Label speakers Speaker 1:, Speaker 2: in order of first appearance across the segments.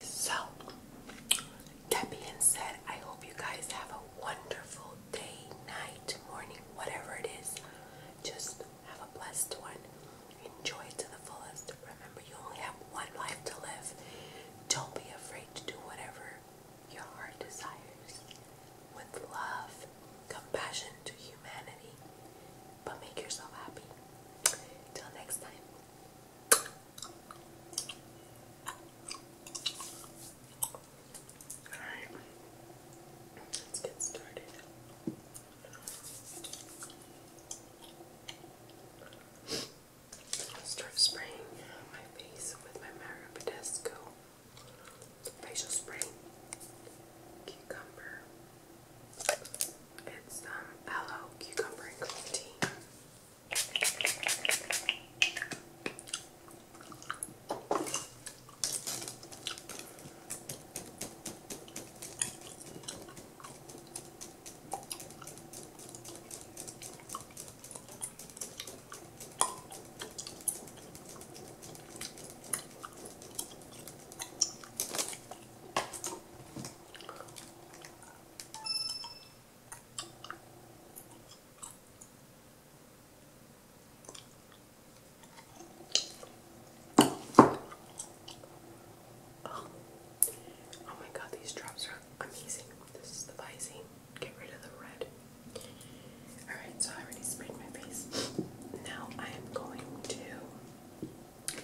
Speaker 1: So, that being said, I hope you guys have a wonderful day, night, morning, whatever it is. Just have a blessed one. Enjoy to the fullest. Remember, you only have one life to live. Don't be afraid to do whatever your heart desires with love, compassion to humanity. But make yourself happy. Till next time. Alright. Let's get started. I'll start spraying my face with my Mario facial spray, cucumber. It's um aloe, cucumber, tea. Oh, my god, these drops are amazing. This is the Visine get rid of the red. Alright, so I already sprayed my face. Now I am going to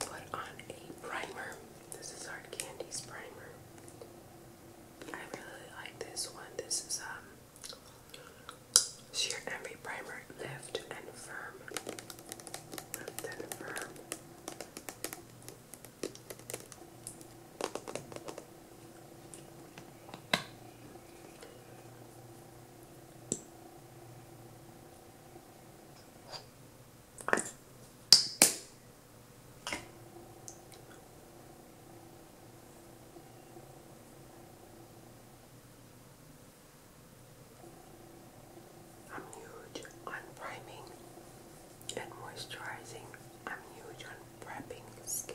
Speaker 1: put on a primer. This is Hard Candy's primer. I really like this one. This is um Sheer every Primer Lift and Firm. Lift and Firm. I'm huge on priming and moisturizing. I'm huge prepping skin.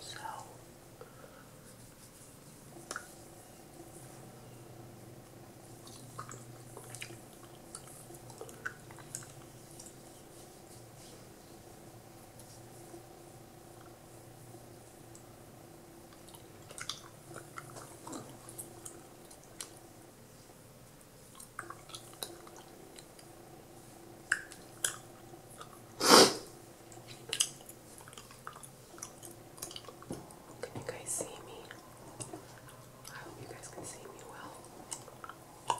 Speaker 1: So can you guys see me? I hope you guys can see me well.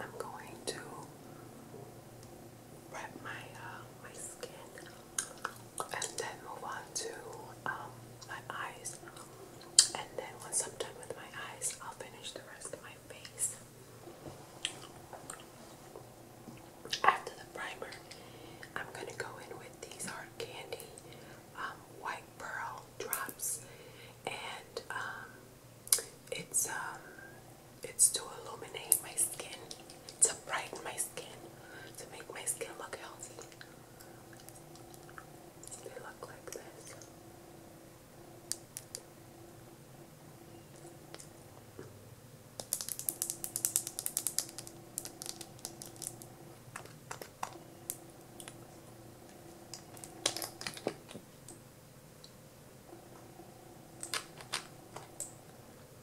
Speaker 1: I'm going to wrap my uh, my skin and then move on to um, my eyes. And then once I'm done with my eyes, I'll finish the rest of my face. After the primer, I'm gonna go in with these Hard Candy um, White Pearl drops, and um, it's um, it's to illuminate my skin to brighten my skin, to make my skin look healthy. They look like this.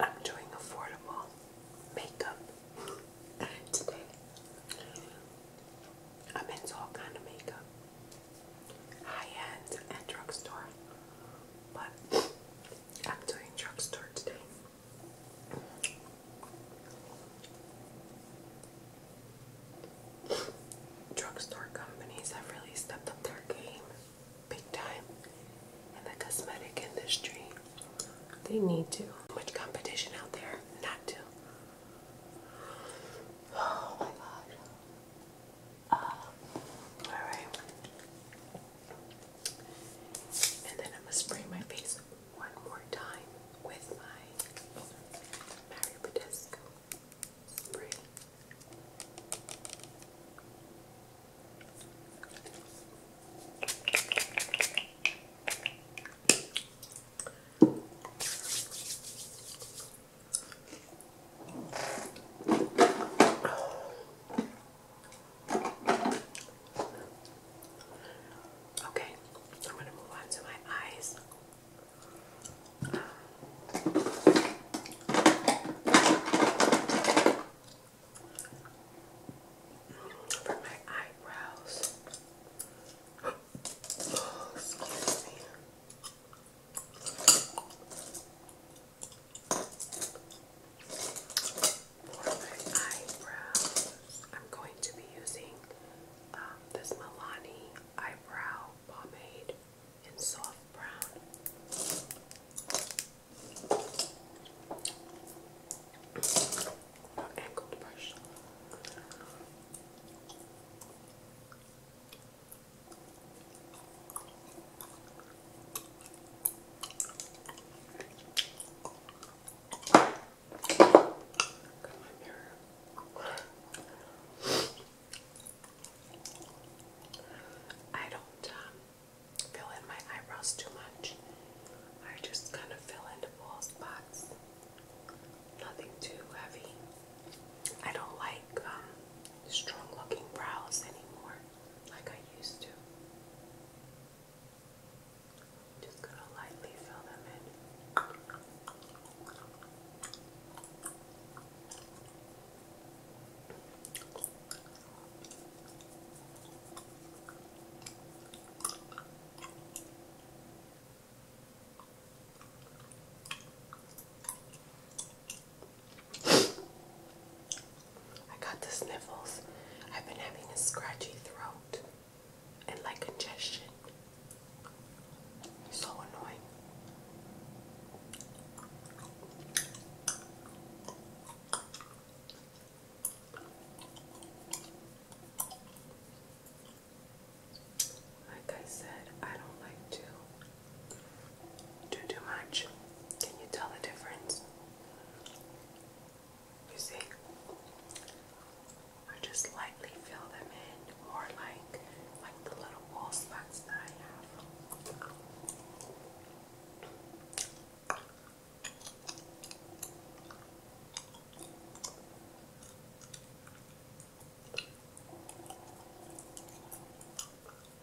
Speaker 1: I'm doing affordable makeup today. I'm into all kind of makeup high end and drugstore, but I'm doing drugstore today. Drugstore companies have really stepped up their game big time in the cosmetic industry. They need to. Much competition out there not to. Oh my god. Alright. And then I'm going to spray my face one more time with my Mario Badescu spray. Okay, I'm going to move on to my eyes. for my eyebrows, oh, excuse me my eyebrows, I'm going to be using um, this Milani eyebrow pomade in soft brown. angled brush. I don't um, fill in my eyebrows too much. I just kind of fill in the spots. Nothing too heavy. I don't like um, strong looking brows anymore like I used to. Just gonna lightly fill them in. I got the sniffles. I've been having a scratchy throat and like congestion. So annoying. Like I said, I don't like to do too much. Can you tell the difference? You see? I just lightly fill them in, more like like the little wall spots that I have.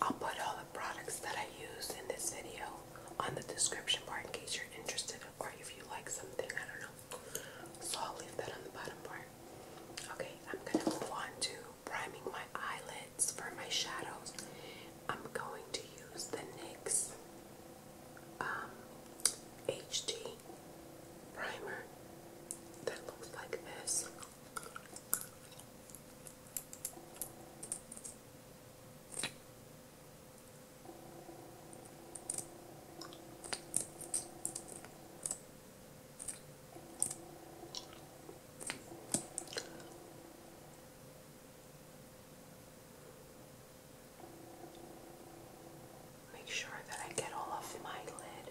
Speaker 1: I'll put all the products that I used in this video on the description bar in case you're interested or if you like something, I don't know. So I'll leave that on the bottom part. Okay, I'm gonna move on to priming my eyelids for my shadows, I'm going to use the NYX um, HD primer that looks like this. Make sure that I get all of my lid.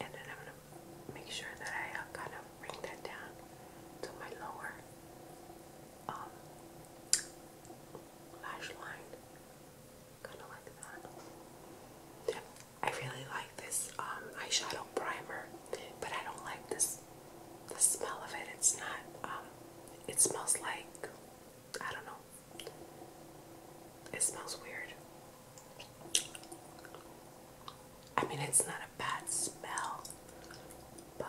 Speaker 1: And then I'm going to make sure that I uh, kind of bring that down to my lower um, lash line, kind of like that. I really like this um, eyeshadow primer, but I don't like this the smell of it. It's not. Um, it smells like I don't know. It smells weird. I mean, it's not not bad smell, but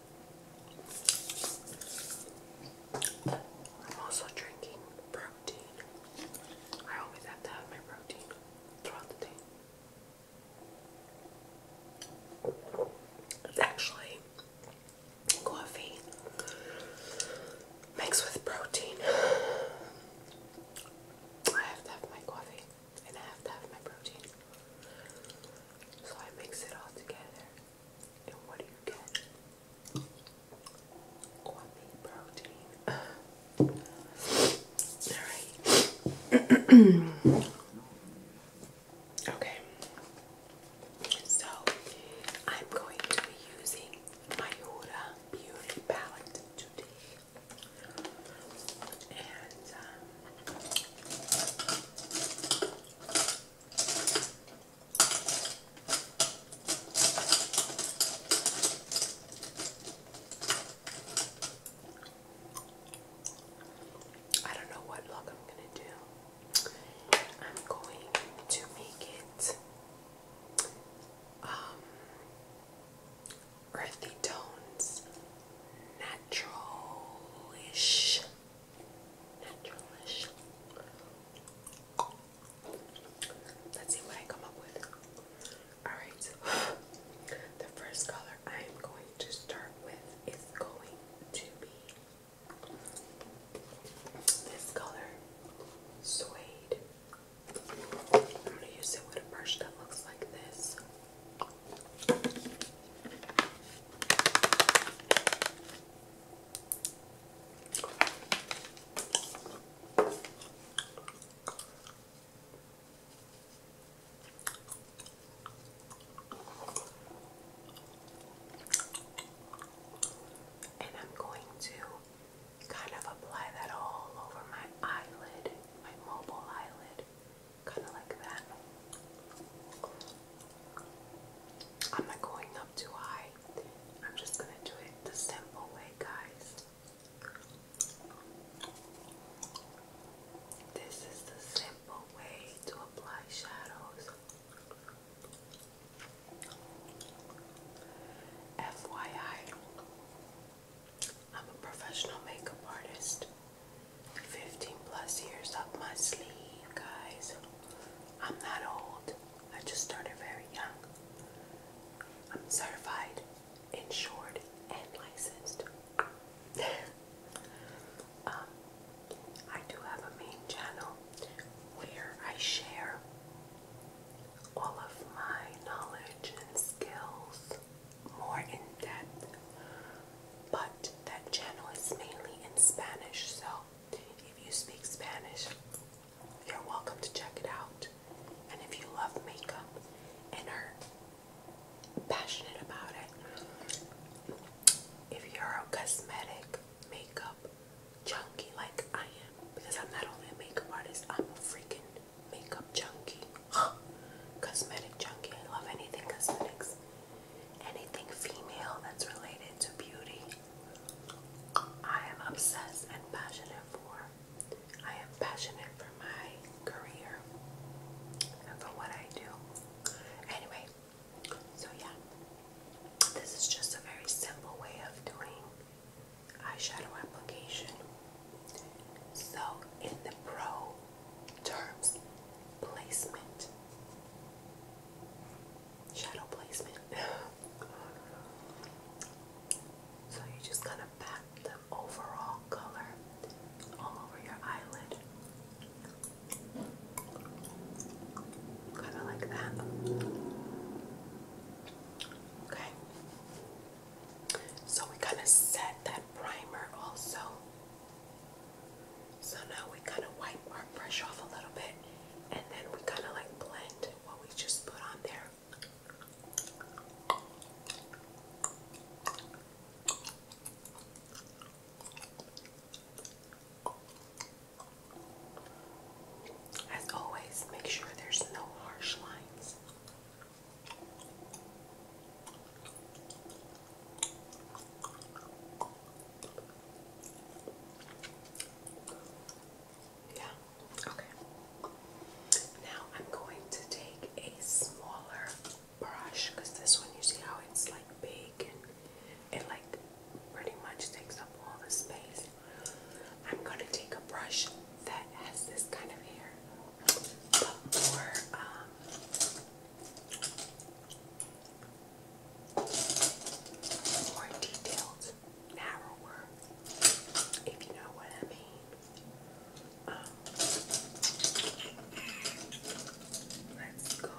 Speaker 1: I'm also drinking protein. I always have to have my protein throughout the day. actually coffee mixed with protein. I have to have my coffee and I have to have my protein. So I mix it all together. And what do you get? Quality protein. Alright. okay. So I'm going to be using my Huda Beauty Palette today. And um, I don't know what look I'm going to do. I'm going to make it um, earthy tones, naturalish Let's see what I come up with. Alright, the first color I am going to start with is going to be this color, Suede. I'm going to use it with a brush that looks like this. And I'm going to kind of apply that all over my eyelid, my mobile eyelid, kind of like that. I'm not going up too high. I'm just going to do it the simple way, guys. This is the simple way to apply shadows. FYI, I'm a professional makeup artist. 15 plus years up my sleeve, guys. I'm not old. I just started very young. I'm certified, insured, and licensed. um, I do have a main channel where I share all of my knowledge and skills more in depth but that channel is mainly in Spanish, so if you speak Spanish, you're welcome to check it out. And if you love makeup and are passionate about it, if you're a cosmetic makeup junkie like I am, because I'm not only a makeup artist, I'm a freaking makeup junkie. Cosmetic junkie. I love anything cosmetics anything female that's related to beauty. I am obsessed and passionate for. I am passionate for my career and for what I do. Anyway, so yeah, this is just a very simple way of doing eyeshadow application. So, in the pro terms, placement shadow placement. so you're just gonna pat the overall color all over your eyelid. Kind of like that. Okay. So we kind of set that primer also. So now we kind of wipe our brush off a little bit and then we kind of like blend what we just put on there. As always, make sure there's no harsh lines. Yeah, okay. Now I'm going to take a smaller brush because this one, you see how it's like big and it like pretty much takes up all the space. I'm going to take a brush that has this kind of hair, but more um, more detailed, narrower, if you know what I mean. Um, let's go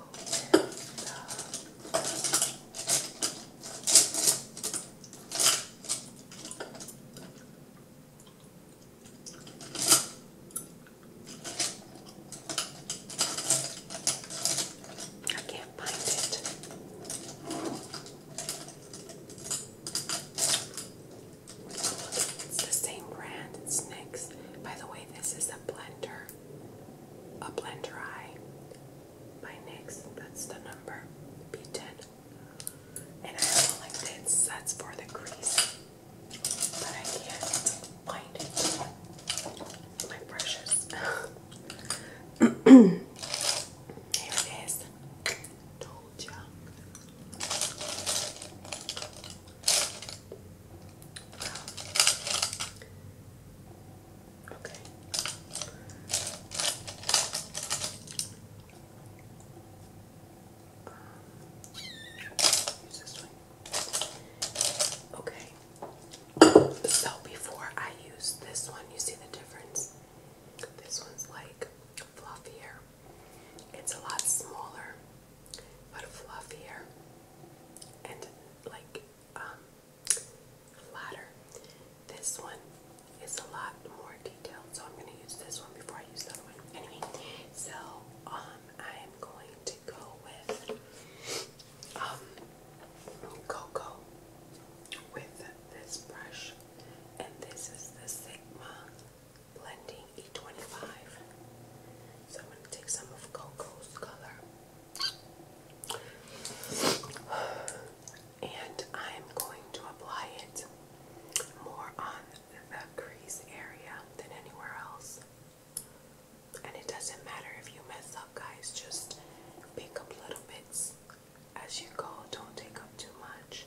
Speaker 1: I can't find it. It's the same brand, it's By the way, this is a blender, a blender eye by NYX. That's the number B10. And I really like this, that's for the crease. But I can't my precious. Here it is. Told ya. Okay. Okay. So before I use this one, you see the difference? This one's like fluffier. It's a lot smaller, but fluffier and like um, flatter. This one is a lot more detailed, so I'm going to use this one before I use the other one. Anyway, so um, I am going to go with um, oh, cocoa with this brush, and this is the Sigma Blending E25. So I'm going to take some of Coco's color, and I'm going to apply it more on the crease area than anywhere else. And it doesn't matter if you mess up, guys, just pick up little bits as you go, don't take up too much.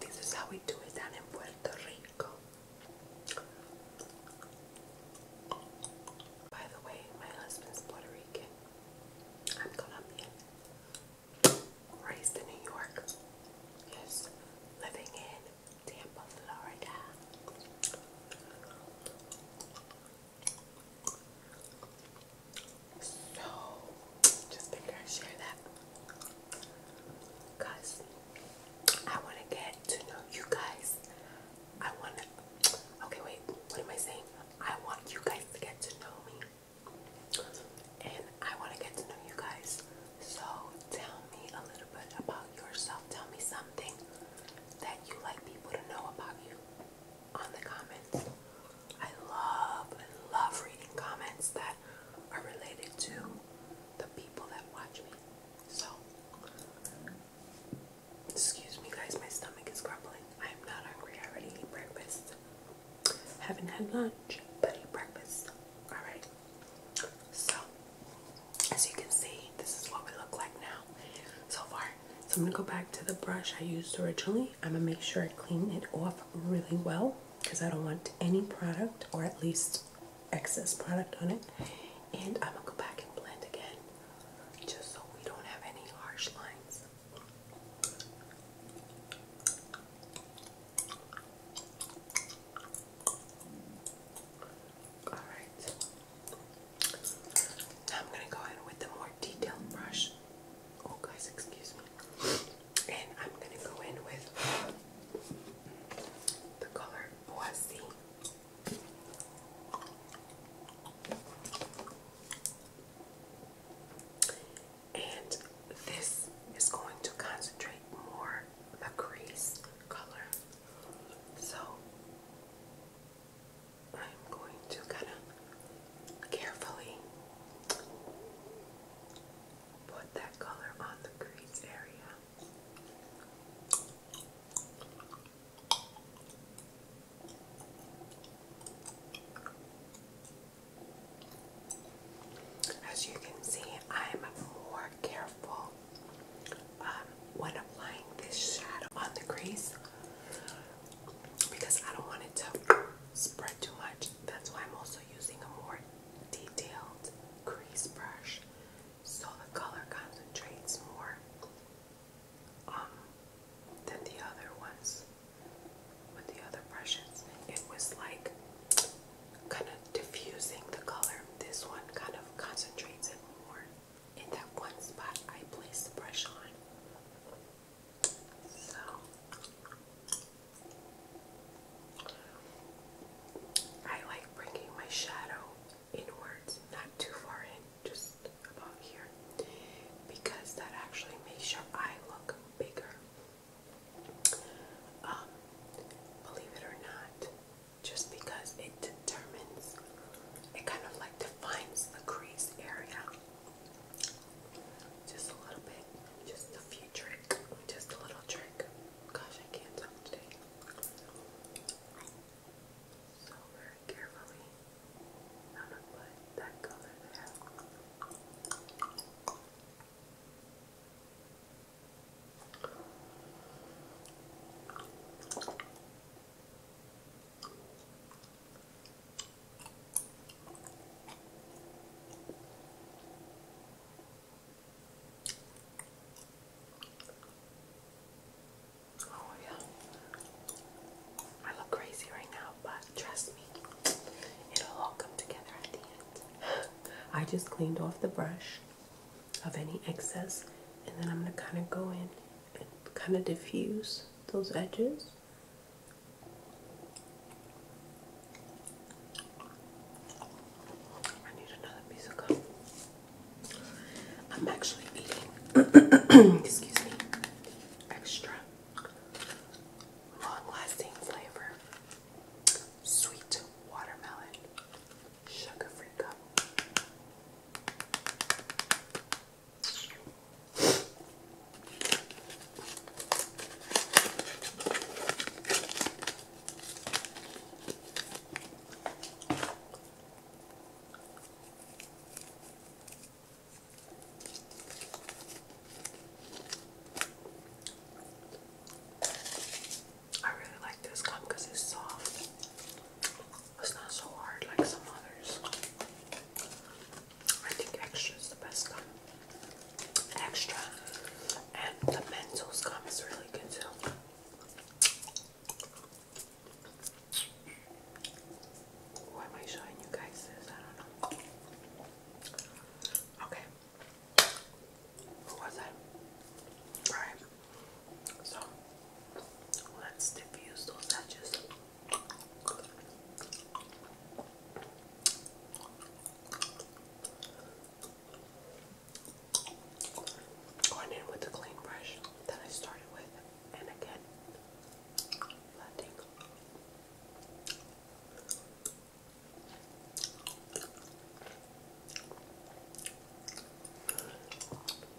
Speaker 1: This is how we do it down in Puerto Rico. By the way, my husband's Puerto Rican. I'm Colombian. Raised in New York. Yes. Living in Tampa, Florida. So, just figure I share that because I want to get to know you guys. I want to, okay, wait, what am I saying? I want you guys to get to know me, and I want to get to know you guys. So, tell me a little bit about yourself. Tell me something that you like people to know about you on the comments. I love, love reading comments that are related to the people that watch me. So, excuse me guys, my stomach is grumbling. I am not hungry. I already ate breakfast. Haven't had lunch, but eat breakfast. Alright. So, as you can see, this is what we look like now. So far, so I'm gonna go back to the brush I used originally. I'm gonna make sure I clean it off really well because I don't want any product or at least excess product on it. And I'm gonna go back and blend again just so we don't have any harsh lines. All right. I'm going to go in with a more detailed brush. Oh, guys, excuse me. And I'm going to go in with the color Boise. And this is going to concentrate more the crease color. So I'm going to kind of carefully put that color on the crease area. As you can see, I'm more careful um, when applying this shadow on the crease because I don't want it to spread too much. That's why I'm also using a more detailed crease brush so the color concentrates more um, than the other ones. With the other brushes, it was like kind of diffusing the color. This one kind of concentrates it more in that one spot I placed the brush on. So I like bringing my shadow inwards, not too far in, just about here, because that actually makes your eye look bigger. Um, believe it or not, just because it determines, it kind of like defines the crease area. Just a little bit, just a few tricks. just a little trick. Gosh, I can't talk today. So very carefully, I'm that color there. Oh, yeah. I look crazy right now, but trust me, it'll all come together at the end. I just cleaned off the brush of any excess, and then I'm going to kind of go in and kind of diffuse those edges. I need another piece of I'm actually eating, excuse me, extra long lasting flavor sweet watermelon sugar free gum. I really like this gum because it's soft. It's not so hard like some others. I think extra is the best gum. Extra and the Mentos gum is really good too. Why am I showing you guys this? I don't know. Okay. Who was that? Alright. So let's diffuse those edges. Going in with the clean brush that I started with, and again, blending.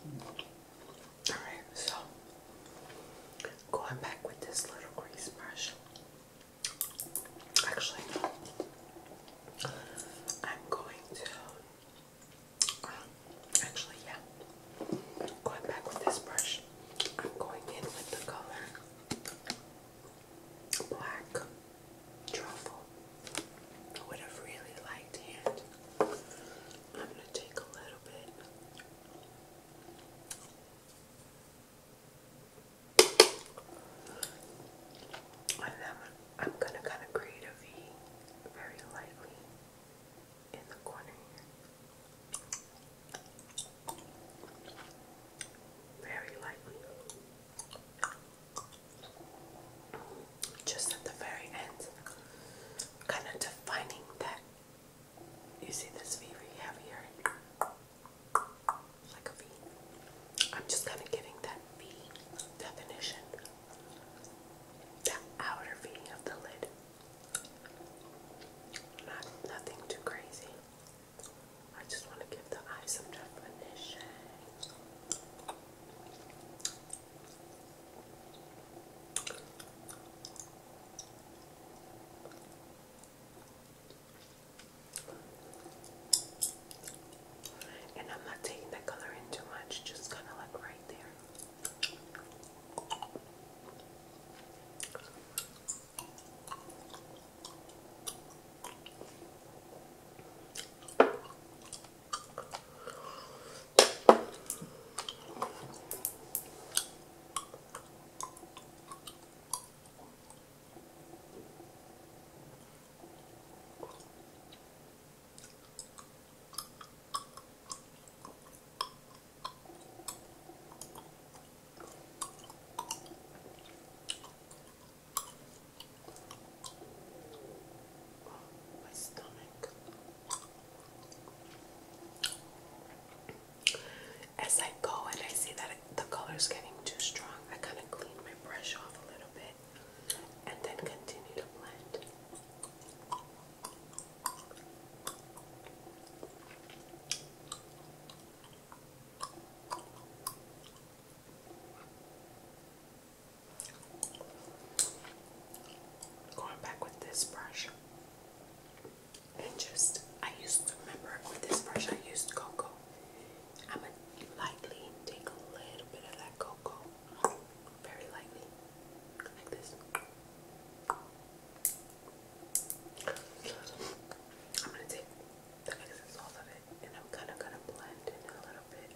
Speaker 1: Mm. Alright, so going back with this little grease brush. Actually, I'm going to. Um, actually, yeah. Going back with this brush, I'm going in with the color black truffle with a really light hand. I'm going to take a little bit. And then I'm going to kind of create a V very lightly in the corner here. Very lightly. Just at the very end. Kind of defining that you see this V right heavier? Like a V. I'm just kind of giving that V definition. The outer V of the lid. Not nothing too crazy. I just want to give the eyes some definition. And I'm not taking the color in too much, just kind of like right there. My stomach. As I go and I see that the color's getting too strong, I kind of clean my brush off a little bit and then continue to blend. Going back with this brush and just I used to remember with this brush I used cocoa. I'm gonna lightly take a little bit of that cocoa, very lightly, like this. I'm gonna take the excess off of it, and I'm kind of gonna blend in a little bit.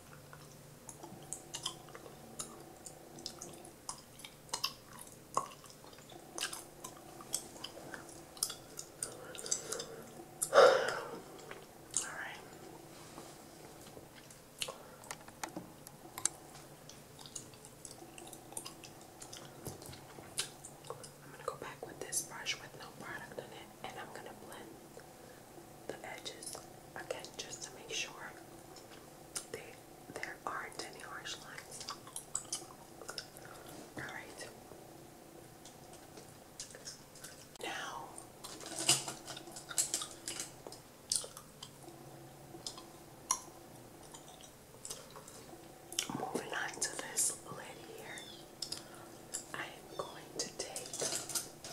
Speaker 1: All right. I'm going to go back with this brush with no product on it and I'm going to blend the edges again just to make sure they there aren't any harsh lines. Alright. Now moving on to this lid here. I am going to take -hmm. I'm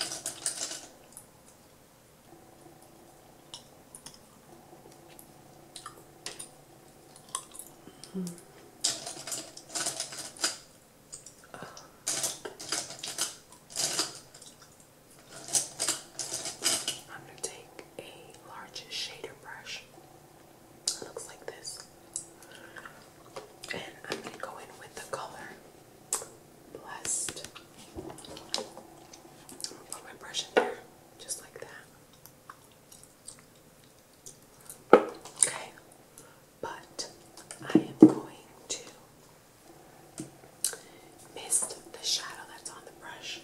Speaker 1: going to take a large shader brush. It looks like this. And I'm going to go in with the color blessed. i put my brush in there, just like that. Okay, but I am going to mist the shadow that's on the brush.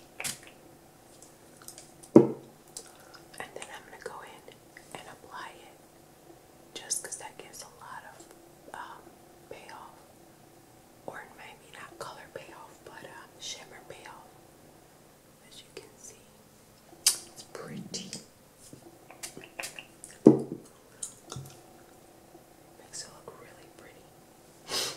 Speaker 1: And then I'm going to go in and apply it just because that gives a lot of um, payoff, or maybe not color payoff, but uh, shimmer payoff. As you can see, it's pretty. Makes it look really pretty.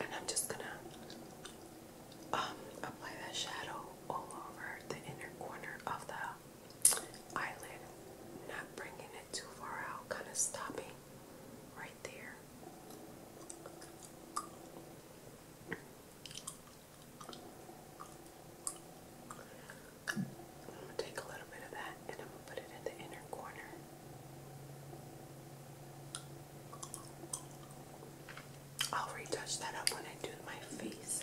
Speaker 1: And I'm just gonna um, apply that shadow all over the inner corner of the eyelid, not bringing it too far out, kind of stopping right there. I'm gonna take a little bit of that and I'm gonna put it in the inner corner. I'll retouch that up when I do my face.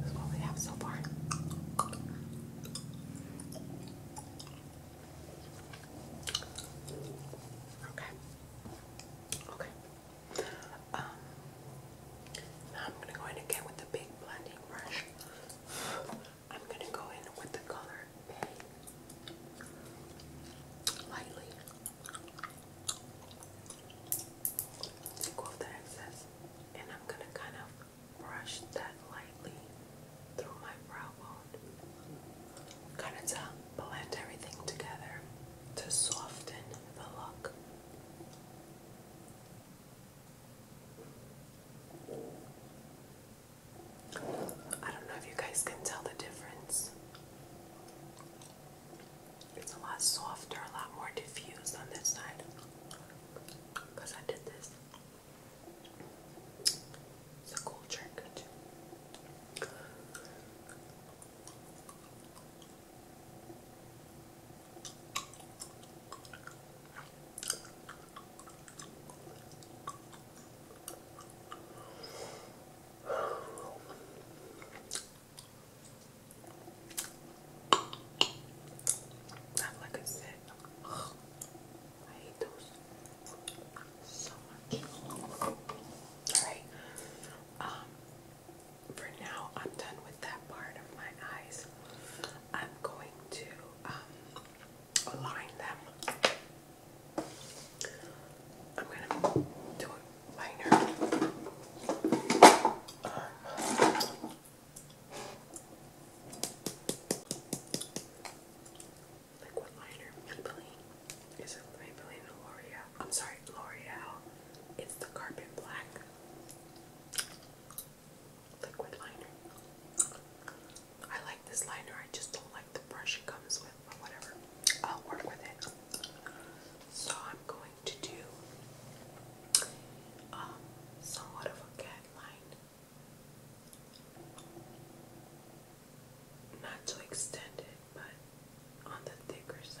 Speaker 1: This is what we have so far. Okay. Okay. Um, I'm going to go in again with the big blending brush. I'm going to go in with the color Bay lightly. Take off the excess, and I'm going to kind of brush that lightly through my brow bone. Kind of to blend everything together to soften the look. I don't know if you guys can tell the difference. It's a lot softer, a lot more diffused on this side because I did this. It's a cool trick like I said. I hate those so much. Alright. Um for now I'm done with that part of my eyes. I'm going to um align them I'm gonna do a minor like what liner? Maybelline. Is it Maybelline or L'Oreal? I'm sorry, L'Oreal. It's the Carpet Black liquid liner. I like this liner. I just don't like the brush it comes with, but whatever. I'll work with it. So I'm going to do um, somewhat of a cat line. Not too extended, but on the thicker side.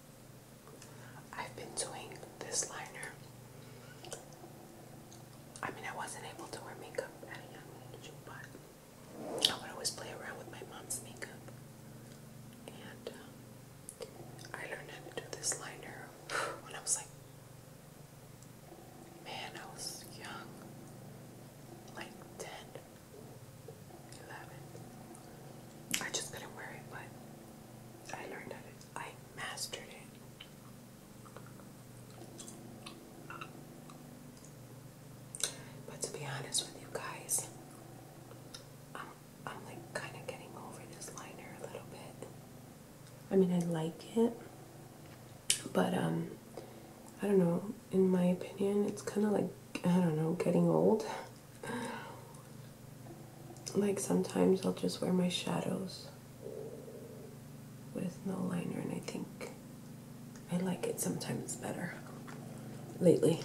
Speaker 1: I've been doing this liner. I mean, I wasn't able to wear makeup at a young age, but I would always play around with my mom's makeup. And um, I learned how to do this liner when I was like, man, I was young, like 10, I just couldn't wear it, but I learned how I mastered it. But to be honest with you guys, I'm, I'm like kind of getting over this liner a little bit. I mean, I like it, but um, I don't know. In my opinion, it's kind of like, I don't know, getting old like sometimes I'll just wear my shadows with no liner and I think I like it sometimes better lately.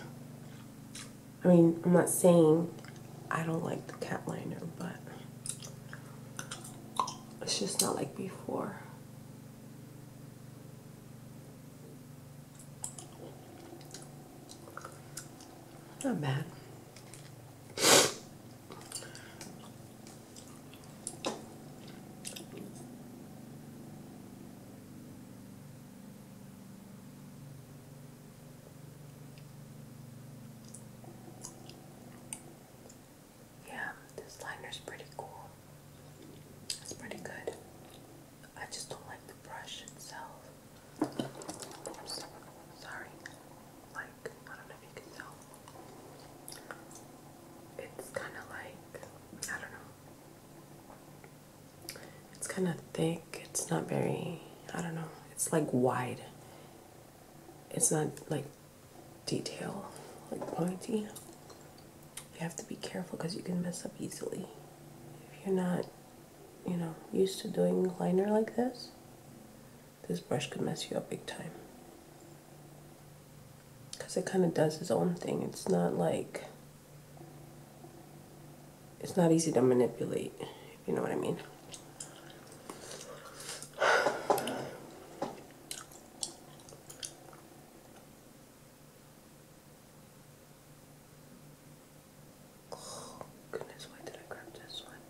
Speaker 1: I mean, I'm not saying I don't like the cat liner, but it's just not like before. Not bad. Yeah, this liner's pretty cool. It's pretty good. I just don't like the brush itself. Sorry. Like, I don't know if you can tell. It's kind of like, I don't know. It's kind of thick. It's not very, I don't know. It's like wide. It's not like detail, like pointy. You have to be careful because you can mess up easily if you're not you know, used to doing liner like this, this brush could mess you up big time. Because it kind of does its own thing. It's not like, it's not easy to manipulate, you know what I mean. Oh, goodness, why did I grab this one?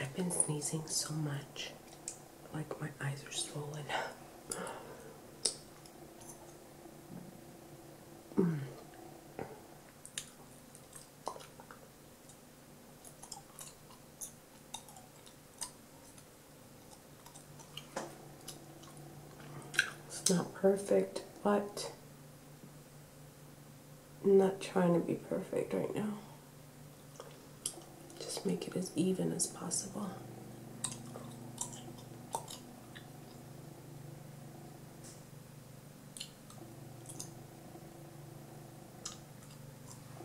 Speaker 1: I've been sneezing so much, like my eyes are swollen. It's not perfect, but I'm not trying to be perfect right now. Just make it as even as possible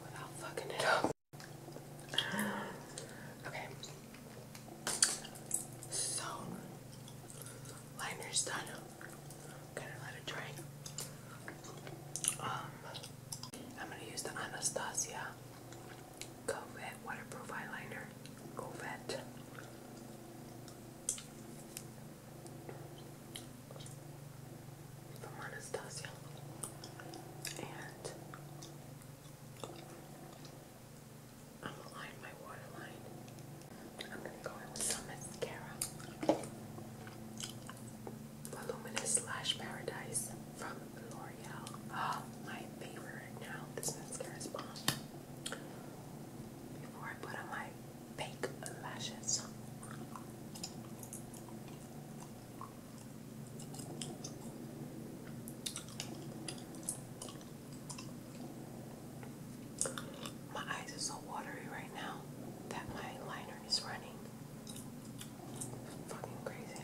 Speaker 1: without fucking it up. Okay. So liner's done. Gonna let it dry. Um, I'm gonna use the Anastasia Covet waterproof eyeliner. Covet from Anastasia and I'm gonna line my waterline. I'm gonna go in with some mascara. Voluminous Lash Paradise from L'Oreal. Oh, my favorite now. This mascara is bomb before I put on my fake lashes. My eyes are so watery right now that my liner is running. Fucking crazy.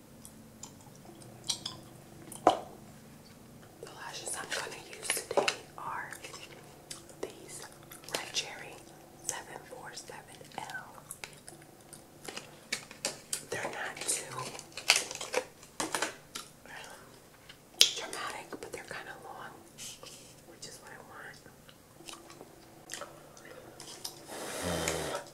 Speaker 1: The lashes I'm going to use today are these Red Cherry 747L. They're not too dramatic, but they're kind of long, which is what I want.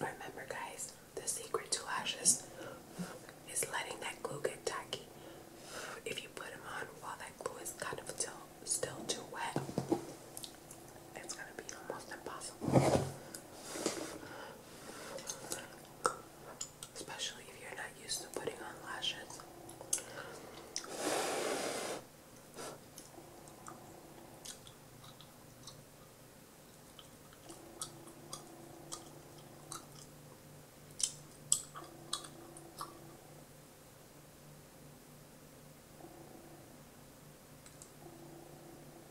Speaker 1: Remember, guys, the secret to lashes is letting that glue get tacky. If you put them on while that glue is kind of still, still too wet, it's gonna be almost impossible especially if you're not used to putting on lashes.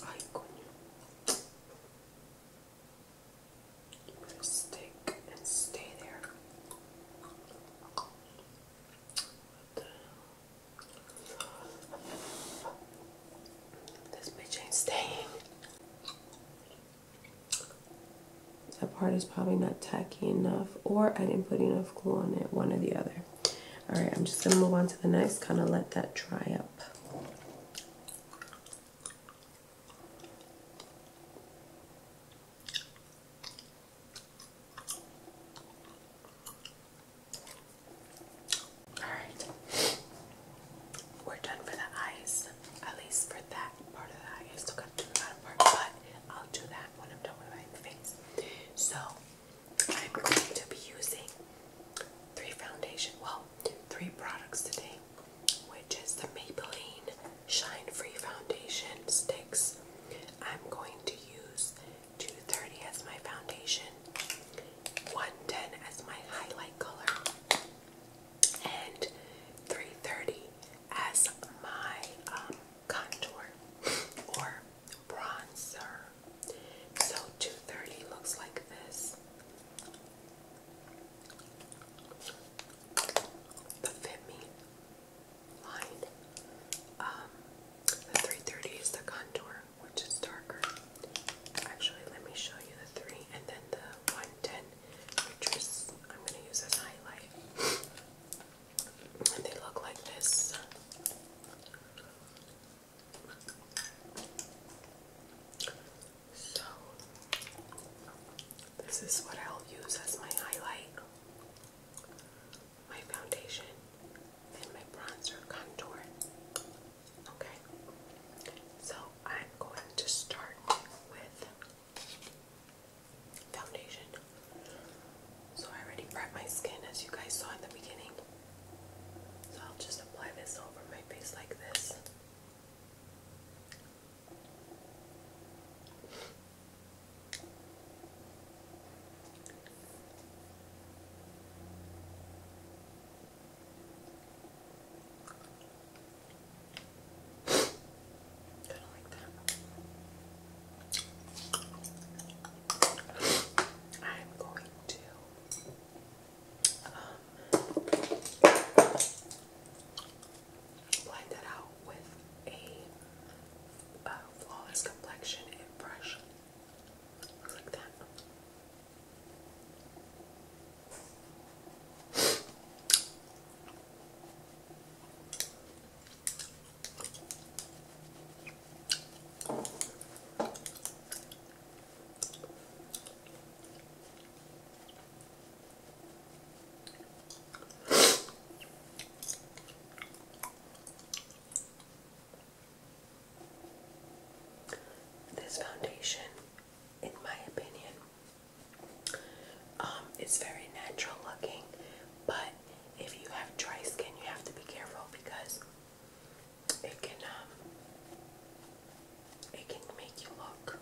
Speaker 1: Ay, coño. You better stick and stay there. What the hell? This bitch ain't staying. That part is probably not tacky enough, or I didn't put enough glue on it, one or the other. Alright, I'm just going to move on to the next, kind of let that dry up. Alright. We're done for the eyes. At least for that part of the eye. I still gotta do the but I'll do that when I'm done with my face. So I'm going to be using three foundation, well, three products today, which is the Maybelline Shine Free Foundation Sticks. I'm going to use 230 as my foundation 110 as my highlight color and 330 as my um, contour or bronzer. So 230 looks like this. The Fit line. Um, the 330 is the contour which is darker. Actually, let me show you the three and then the 110, which is I'm going to use as highlight. And they look like this. So, this is what I'll use as my highlight, my foundation, and my bronzer contour. Okay, so I'm going to start with foundation. So I already prepped my skin as you guys saw in the beginning. So I'll just apply this over my face like this. Kinda I'm going to blend that out with a flawless complexion brush. Like that. This foundation in my opinion. Um, it's very natural looking, but if you have dry skin, you have to be careful because it can um, it can make you look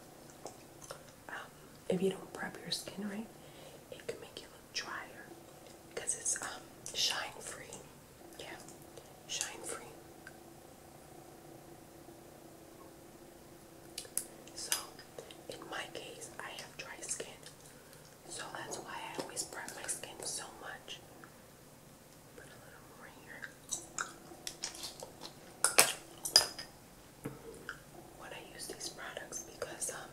Speaker 1: um, if you don't prep your skin right, it can make you look drier because it's shine free. Yeah, shine free. So, in my case, I have dry skin, so that's why I always prep my skin so much. Put a little more here. When I use these products, because um,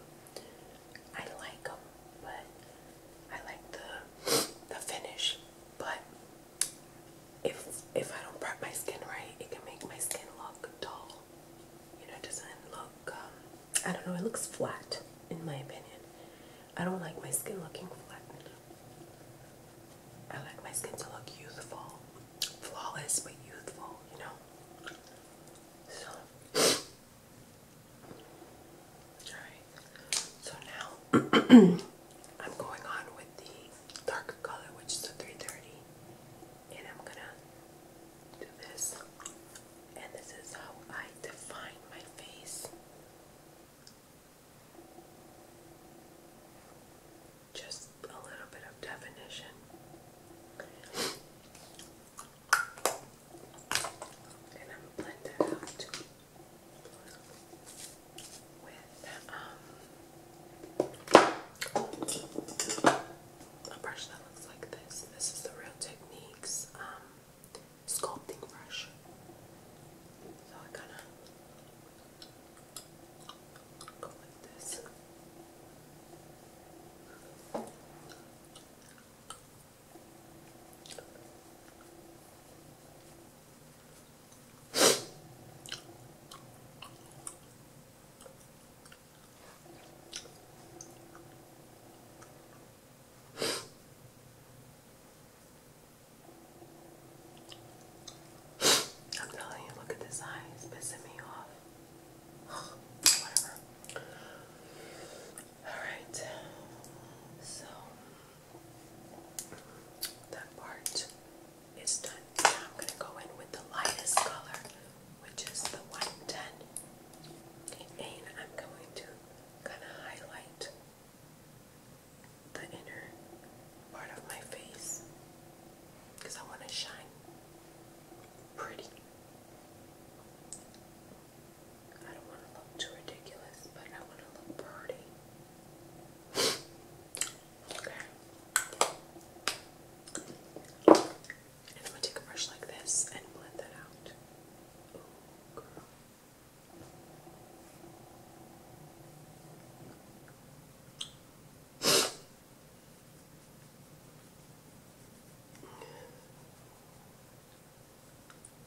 Speaker 1: I like them, but I like the the finish, but if if I don't prep my skin right, it can make my skin look dull. You know, it doesn't look. Um, I don't know. It looks flat, in my opinion. I don't like my skin looking flat. I like my skin to look youthful, flawless but youthful. You know. So. Alright. So now I'm going on with the darker color, which is the 330, and I'm gonna do this. And this is how I define my face. Just a little bit of definition. And I'm blend that out um, a brush that looks like this. This is the Real Techniques um, sculpting brush. So I kind of go like this. I'm telling you, look at this eye, it's me off. Alright, so that part is done. Now I'm going to go in with the lightest color, which is the 110. And I'm going to kind of highlight the inner part of my face because I want to shine pretty. I don't want to look too ridiculous, but I want to look pretty. Okay. And I'm gonna take a brush like this and blend that out. Oh,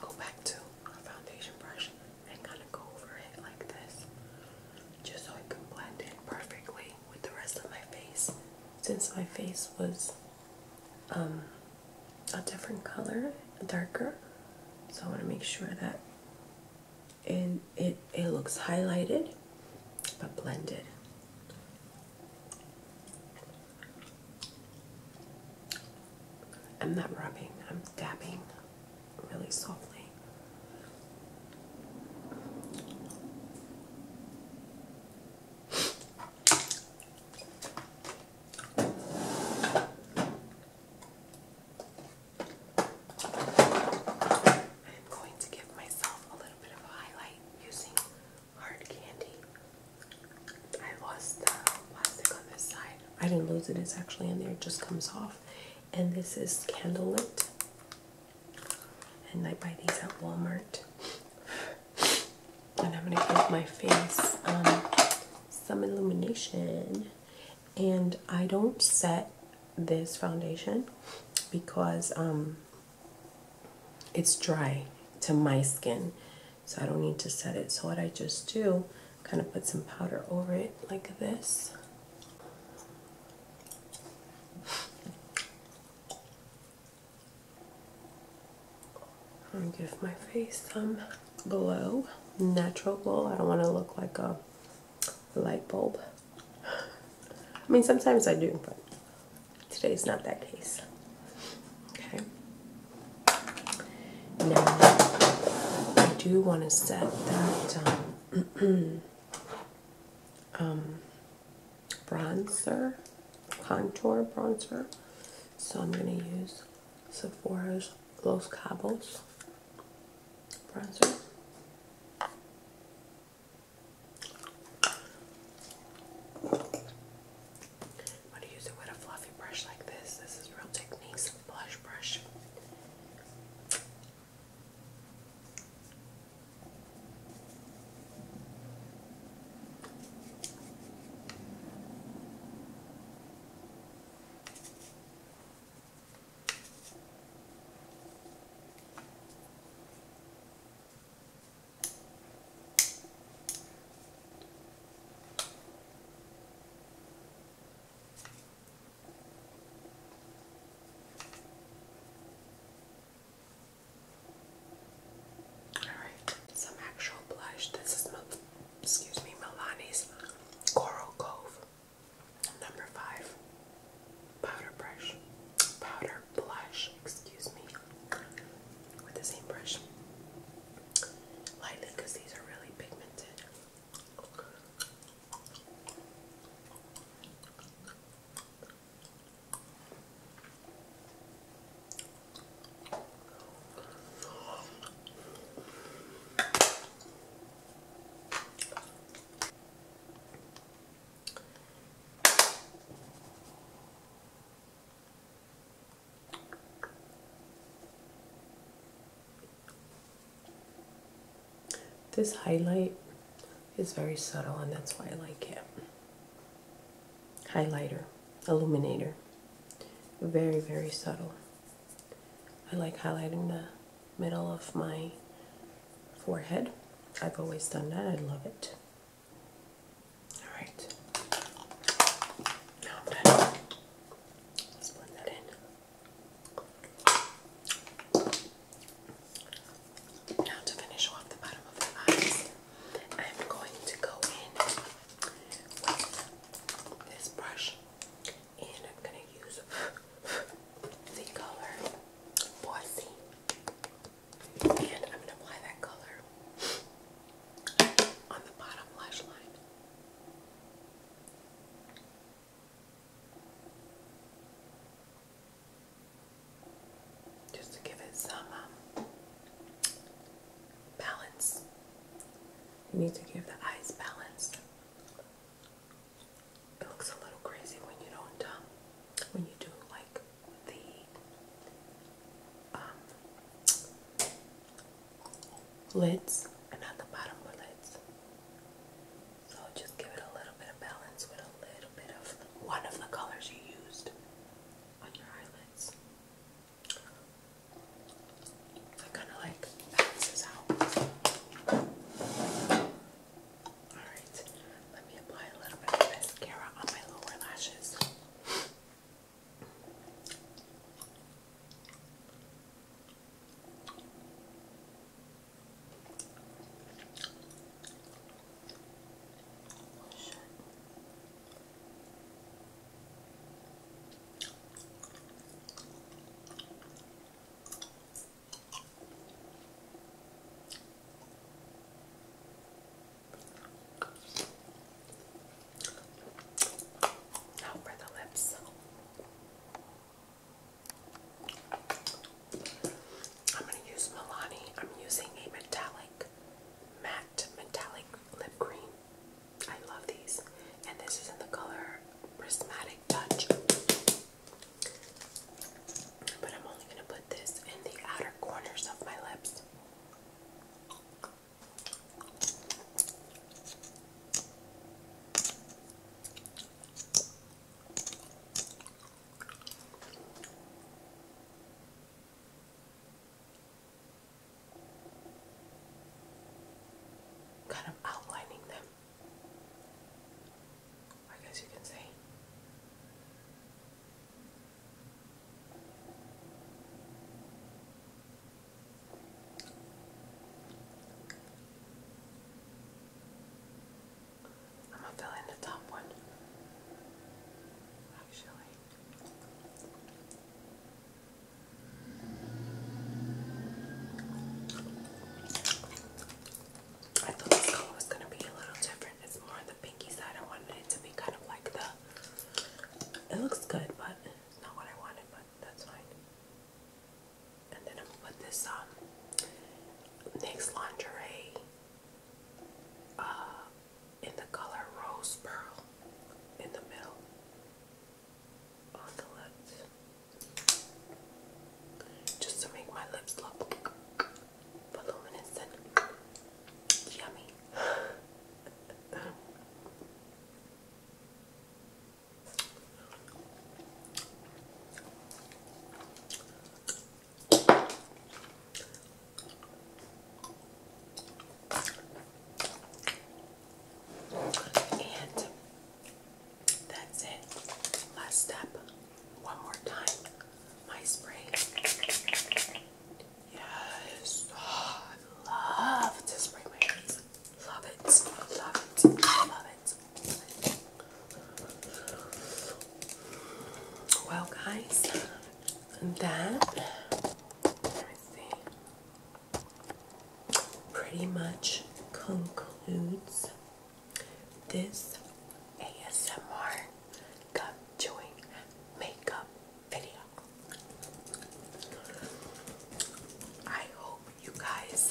Speaker 1: Go back to a foundation brush and kind of go over it like this just so I can blend in perfectly with the rest of my face since my face was um, a different color, darker. So I want to make sure that and it, it looks highlighted but blended. I'm not rubbing, I'm dabbing really softly. I'm going to give myself a little bit of a highlight using hard candy. I lost the plastic on this side. I didn't lose it, it's actually in there, it just comes off. And this is candle lit. And I buy these at Walmart and I'm going to give my face some illumination. And I don't set this foundation because um, it's dry to my skin, so I don't need to set it. So, what I just do, kind of put some powder over it like this and give my face some glow, natural glow. I don't want to look like a light bulb. I mean, sometimes I do, but today today's not that case. Okay. Now, I do want to set that um, um, bronzer, contour bronzer. So I'm going to use Sephora's Los Cabos bronzer. i going to use it with a fluffy brush like this. This is Real Techniques blush brush. Alright, some actual blush. This is excuse me, Milani's Coral Cove number five powder brush, powder blush, excuse me, with the same brush. Lightly these are really pigmented. This highlight is very subtle and that's why I like it highlighter, illuminator. Very, very subtle. I like highlighting the middle of my forehead. I've always done that. I love it. Alright. Now i Let's blend that in. Now to finish off the bottom of the eyes, I'm going to go in this brush and I'm gonna use the color Boise and I'm gonna apply that color on the bottom lash line. Just to give it some um, balance. You need to give the eyes balance. It looks a little crazy when you don't, uh, when you do like the um, lids and not the bottom of lids. So just give it a little bit of balance with a little bit of one of the colors you used on your eyelids. That kind of like balances out. Alright, let me apply a little bit of mascara on my lower lashes. Shit. Now the lips. I'm going to use Milani. I'm using a metallic, matte metallic lip cream. I love these. And this is in the color Prismatic Touch. But I'm only going to put this in the outer corners of my lips kind of outlining them, I guess you can say. I'm going the top one. Actually, I thought this color was going to be a little different. It's more on the pinky side. I wanted it to be kind of like the... It looks good, but not what I wanted, but that's fine. And then I'm going to put this um, Lingerie uh, in the color rose pearl in the middle on the lips just to make my lips look voluminous and yummy. And that's it. Last step. One more time. My spray. Yes. Oh, I love to spray my hands. Love it. Love it. Love it. Well, guys, and that. Let me see pretty much concludes this ASMR gum chewing makeup video. I hope you guys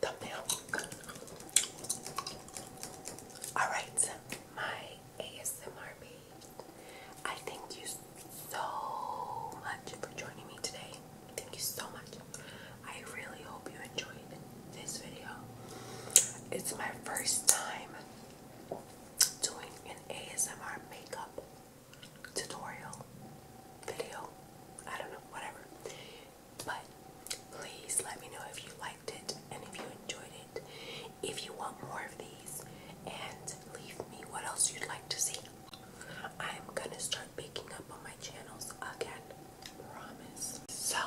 Speaker 1: thumbnail. Alright, my ASMR I thank you so much for joining me today. Thank you so much. I really hope you enjoyed this video. It's my first time doing an ASMR makeup tutorial video. I don't know, whatever. But please let me know if you liked it and if you enjoyed it. If you want more of these, and leave me what else you'd like to see. I'm gonna start picking up on my channels again. Promise. So,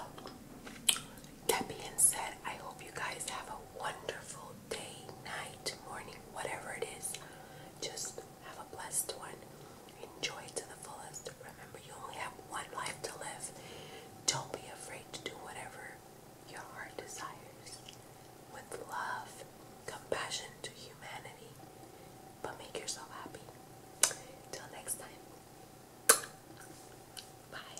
Speaker 1: that being said, I hope you guys have a wonderful day, night, morning, whatever it is. Just have a blessed one. Enjoy to the fullest. Remember, you only have one life to live. Don't be afraid to do whatever your heart desires with love, compassion to humanity, but make yourself happy. Till next time. Bye.